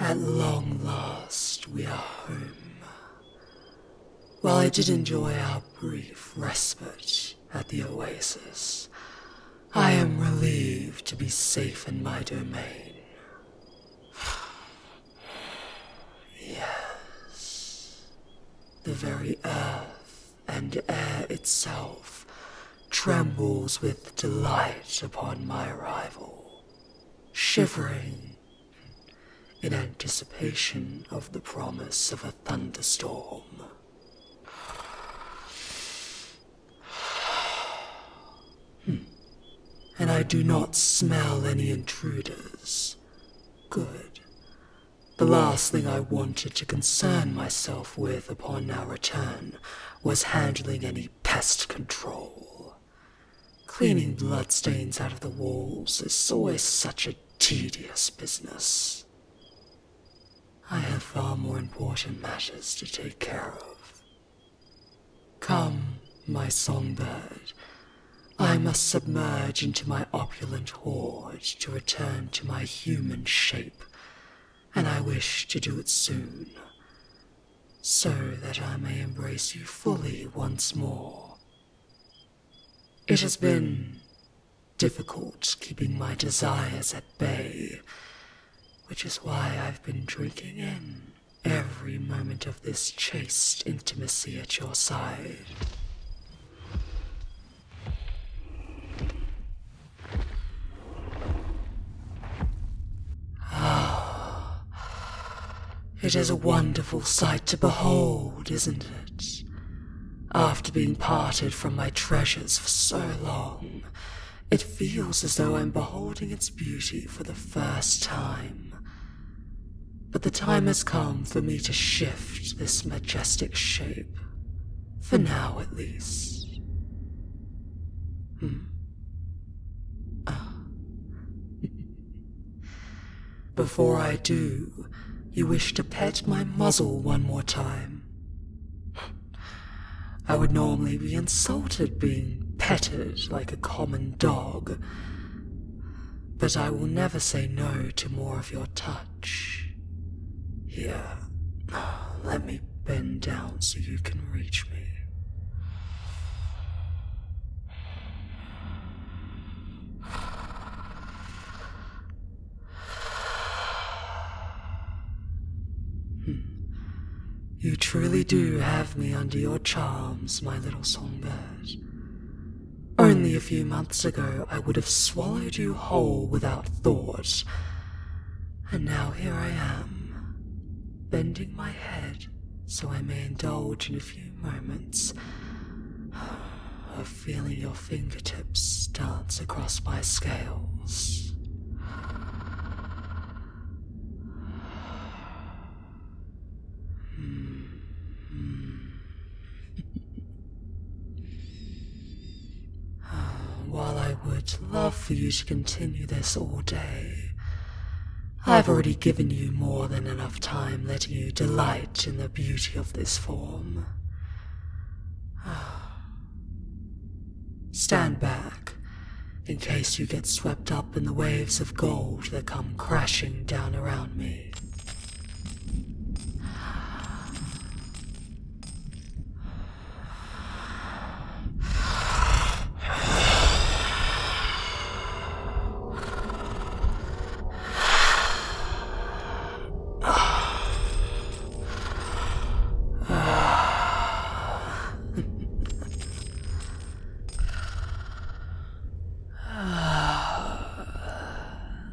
At long last, we are home. While I did enjoy our brief respite at the oasis, I am relieved to be safe in my domain. Yes. The very earth and air itself trembles with delight upon my arrival, shivering in anticipation of the promise of a thunderstorm. Hmm. And I do not smell any intruders. Good. The last thing I wanted to concern myself with upon our return was handling any pest control. Cleaning bloodstains out of the walls is always such a tedious business. I have far more important matters to take care of. Come, my songbird, I must submerge into my opulent hoard to return to my human shape, and I wish to do it soon, so that I may embrace you fully once more. It has been difficult keeping my desires at bay, which is why I've been drinking in every moment of this chaste intimacy at your side. Ah, it is a wonderful sight to behold, isn't it? After being parted from my treasures for so long, it feels as though I'm beholding its beauty for the first time. But the time has come for me to shift this majestic shape. For now, at least. Hmm. Ah. Before I do, you wish to pet my muzzle one more time. I would normally be insulted being petted like a common dog, but I will never say no to more of your touch. Here, let me bend down so you can reach me. Hmm. You truly do have me under your charms, my little songbird. Only a few months ago I would have swallowed you whole without thought. And now here I am, bending my head so I may indulge in a few moments of feeling your fingertips dance across my scales. While I would love for you to continue this all day, I've already given you more than enough time letting you delight in the beauty of this form. Stand back, in case you get swept up in the waves of gold that come crashing down around me.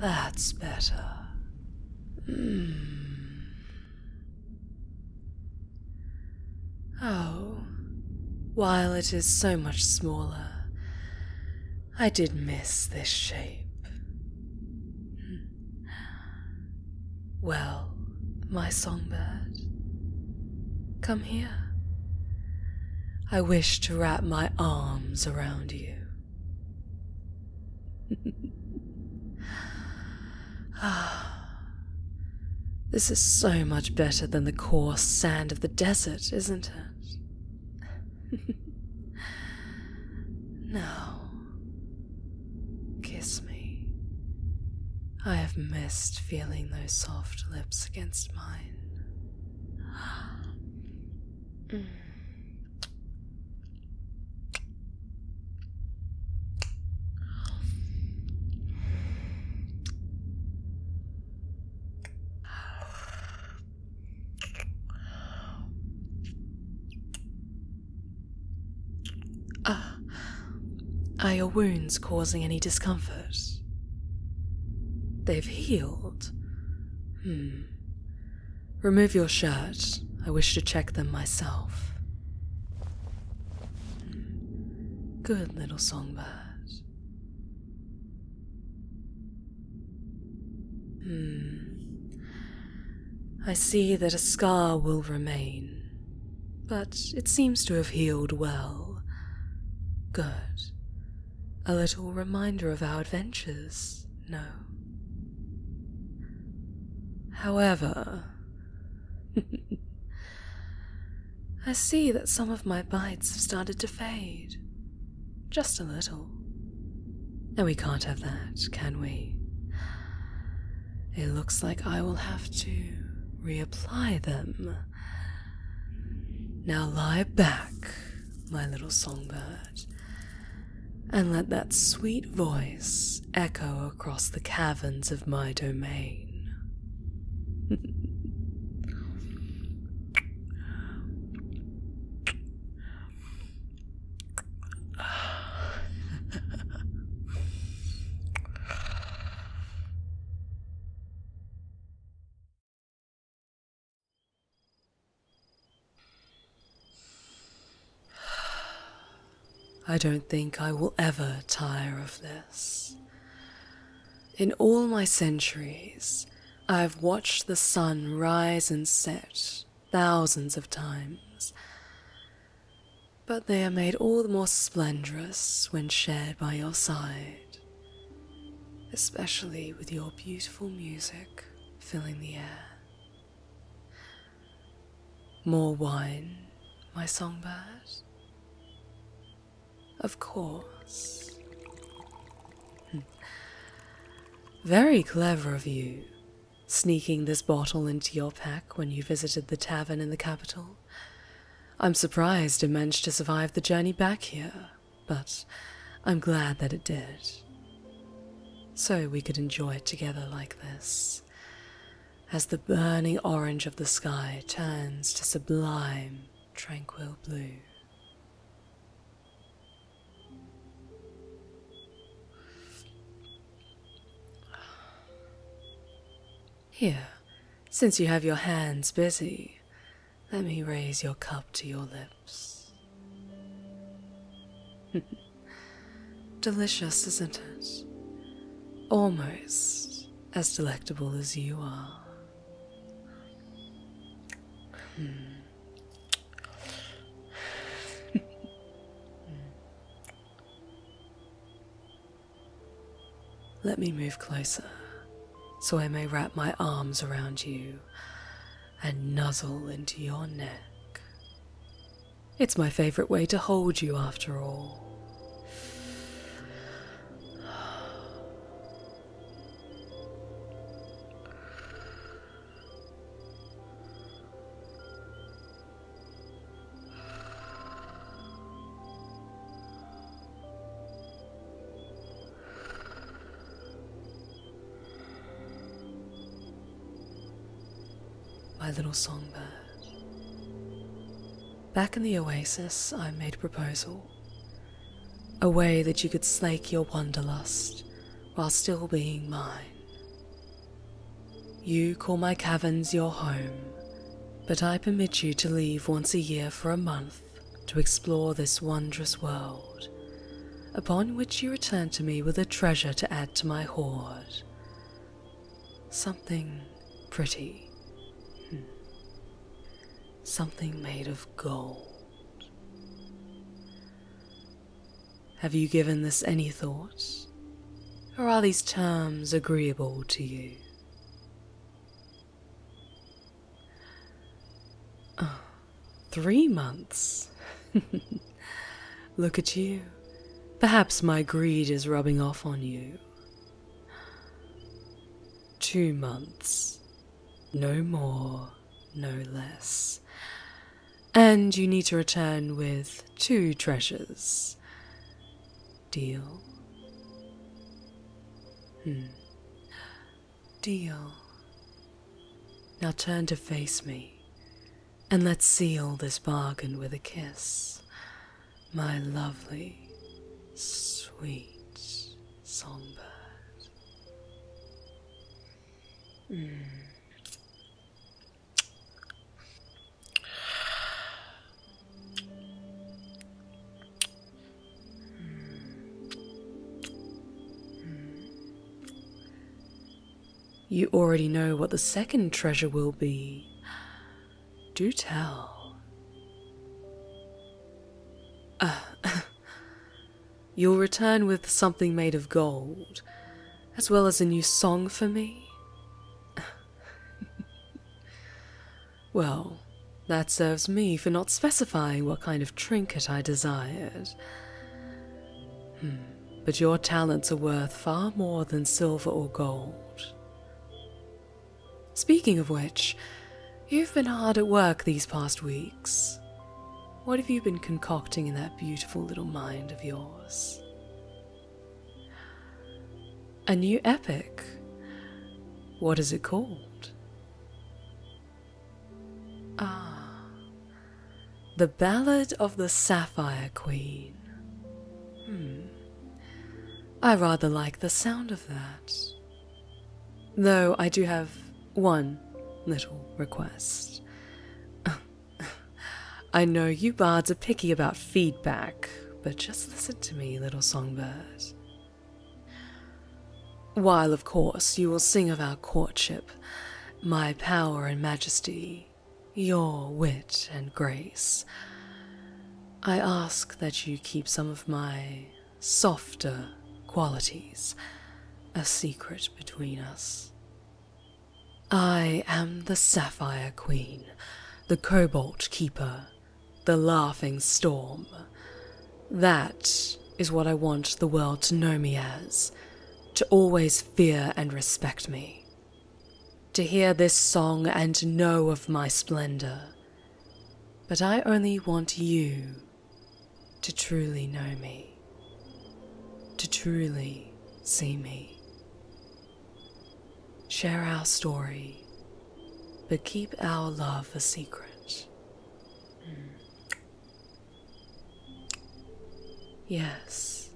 That's better. Mm. Oh, while it is so much smaller, I did miss this shape. Hmm. Well, my songbird, come here. I wish to wrap my arms around you. ah, this is so much better than the coarse sand of the desert, isn't it? No. Kiss me. I have missed feeling those soft lips against mine. Ah, are your wounds causing any discomfort? They've healed. Hmm. Remove your shirt. I wish to check them myself. Good little songbird. Hmm. I see that a scar will remain, but it seems to have healed well. Good. A little reminder of our adventures, no? However, I see that some of my bites have started to fade. Just a little. And we can't have that, can we? It looks like I will have to reapply them. Now lie back, my little songbird, and let that sweet voice echo across the caverns of my domain. I don't think I will ever tire of this. In all my centuries, I have watched the sun rise and set thousands of times, but they are made all the more splendrous when shared by your side, especially with your beautiful music filling the air. More wine, my songbird? Of course. Hmm. Very clever of you, sneaking this bottle into your pack when you visited the tavern in the capital. I'm surprised it managed to survive the journey back here, but I'm glad that it did. So we could enjoy it together like this, as the burning orange of the sky turns to sublime, tranquil blue. Here, since you have your hands busy, let me raise your cup to your lips. Delicious, isn't it? Almost as delectable as you are. Hmm. Let me move closer so I may wrap my arms around you and nuzzle into your neck. It's my favourite way to hold you, after all. My little songbird. Back in the oasis, I made a proposal a way that you could slake your wanderlust while still being mine. You call my caverns your home, but I permit you to leave once a year for a month to explore this wondrous world, upon which you return to me with a treasure to add to my hoard. Something pretty. Hmm. Something made of gold. Have you given this any thought, or are these terms agreeable to you? Ah, three months. Look at you. Perhaps my greed is rubbing off on you. Two months. No more no less. And you need to return with two treasures. Deal. Hmm. Deal. Now turn to face me, and let's seal this bargain with a kiss. My lovely, sweet songbird. You already know what the second treasure will be. Do tell. Uh, You'll return with something made of gold, as well as a new song for me? well, that serves me for not specifying what kind of trinket I desired. Hmm, but your talents are worth far more than silver or gold. Speaking of which, you've been hard at work these past weeks. What have you been concocting in that beautiful little mind of yours? A new epic. What is it called? Ah, The Ballad of the Sapphire Queen. Hmm. I rather like the sound of that. Though I do have one little request. I know you bards are picky about feedback, but just listen to me, little songbirds. While, of course, you will sing of our courtship, my power and majesty, your wit and grace, I ask that you keep some of my softer qualities, a secret between us. I am the Sapphire Queen, the Cobalt Keeper, the Laughing Storm. That is what I want the world to know me as, to always fear and respect me. To hear this song and know of my splendor, but I only want you to truly know me, to truly see me. Share our story, but keep our love a secret. Mm. Yes,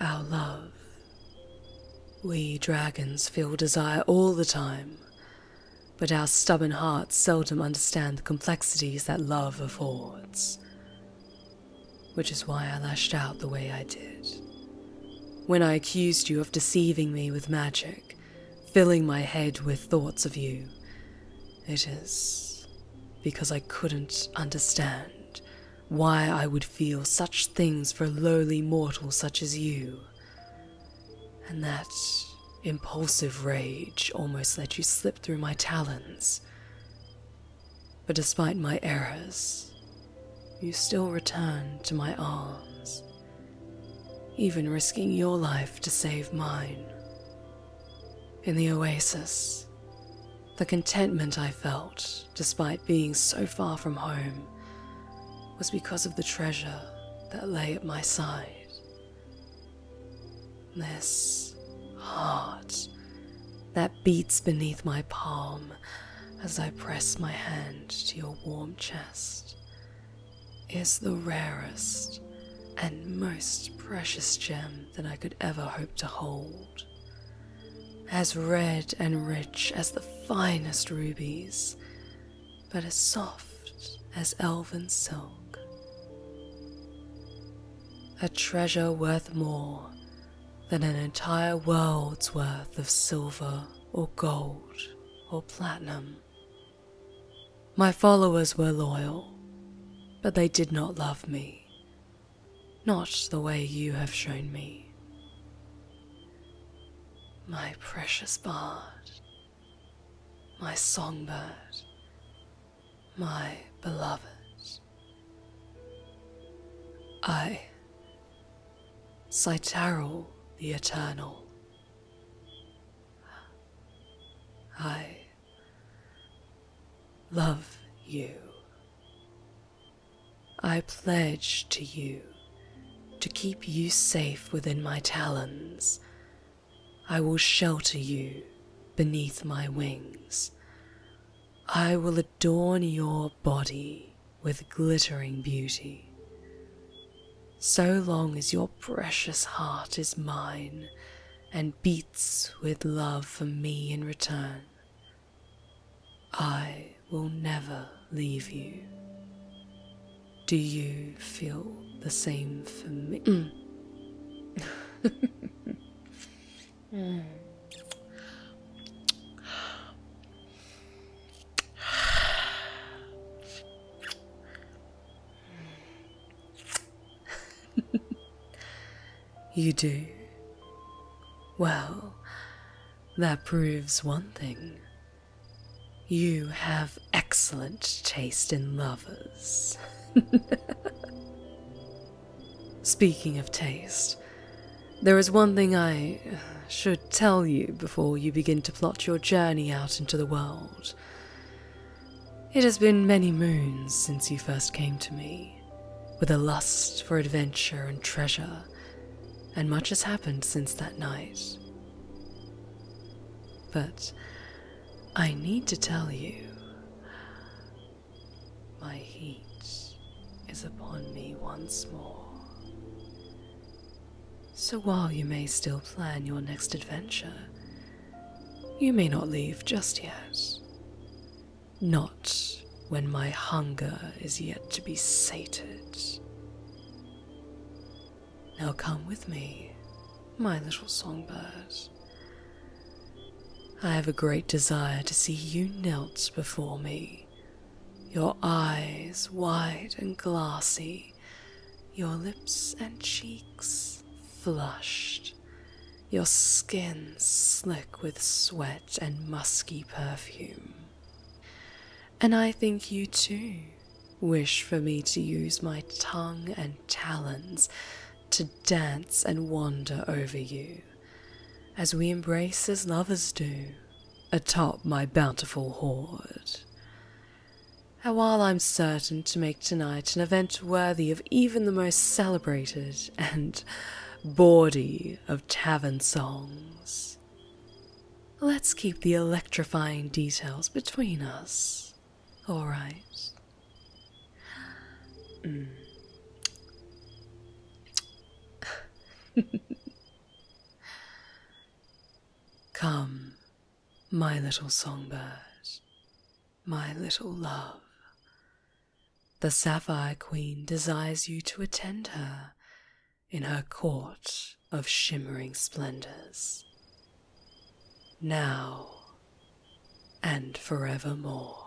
our love. We dragons feel desire all the time, but our stubborn hearts seldom understand the complexities that love affords. Which is why I lashed out the way I did. When I accused you of deceiving me with magic, filling my head with thoughts of you, it is because I couldn't understand why I would feel such things for a lowly mortal such as you and that impulsive rage almost let you slip through my talons. But despite my errors, you still returned to my arms, even risking your life to save mine. In the oasis, the contentment I felt, despite being so far from home, was because of the treasure that lay at my side. This heart that beats beneath my palm as I press my hand to your warm chest is the rarest and most precious gem that I could ever hope to hold. As red and rich as the finest rubies but as soft as elven silk. A treasure worth more than an entire world's worth of silver or gold or platinum. My followers were loyal, but they did not love me, not the way you have shown me my precious bard, my songbird, my beloved. I, Cytarol the Eternal, I love you. I pledge to you to keep you safe within my talons. I will shelter you beneath my wings. I will adorn your body with glittering beauty. So long as your precious heart is mine and beats with love for me in return, I will never leave you. Do you feel the same for me? Mm. Mm. you do. Well, that proves one thing you have excellent taste in lovers. Speaking of taste, there is one thing I should tell you before you begin to plot your journey out into the world. It has been many moons since you first came to me with a lust for adventure and treasure, and much has happened since that night. But I need to tell you, my heat is upon me once more. So while you may still plan your next adventure, you may not leave just yet not when my hunger is yet to be sated. Now come with me, my little songbird. I have a great desire to see you knelt before me, your eyes wide and glassy, your lips and cheeks flushed, your skin slick with sweat and musky perfume. And I think you too wish for me to use my tongue and talons to dance and wander over you, as we embrace as lovers do, atop my bountiful hoard. And while I'm certain to make tonight an event worthy of even the most celebrated and Body of tavern songs. Let's keep the electrifying details between us, all right? Mm. Come, my little songbird, my little love, the Sapphire Queen desires you to attend her in her court of shimmering splendors. Now and forevermore.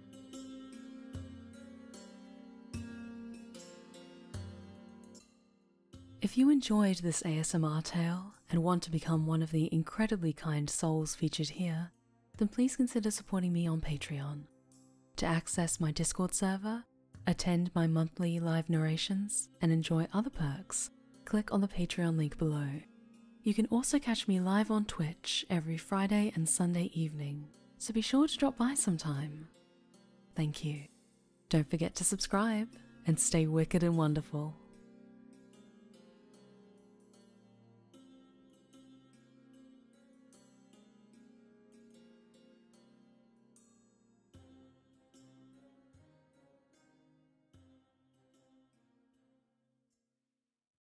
If you enjoyed this ASMR tale and want to become one of the incredibly kind souls featured here, then please consider supporting me on Patreon. To access my Discord server, attend my monthly live narrations, and enjoy other perks, click on the Patreon link below. You can also catch me live on Twitch every Friday and Sunday evening, so be sure to drop by sometime. Thank you. Don't forget to subscribe and stay wicked and wonderful.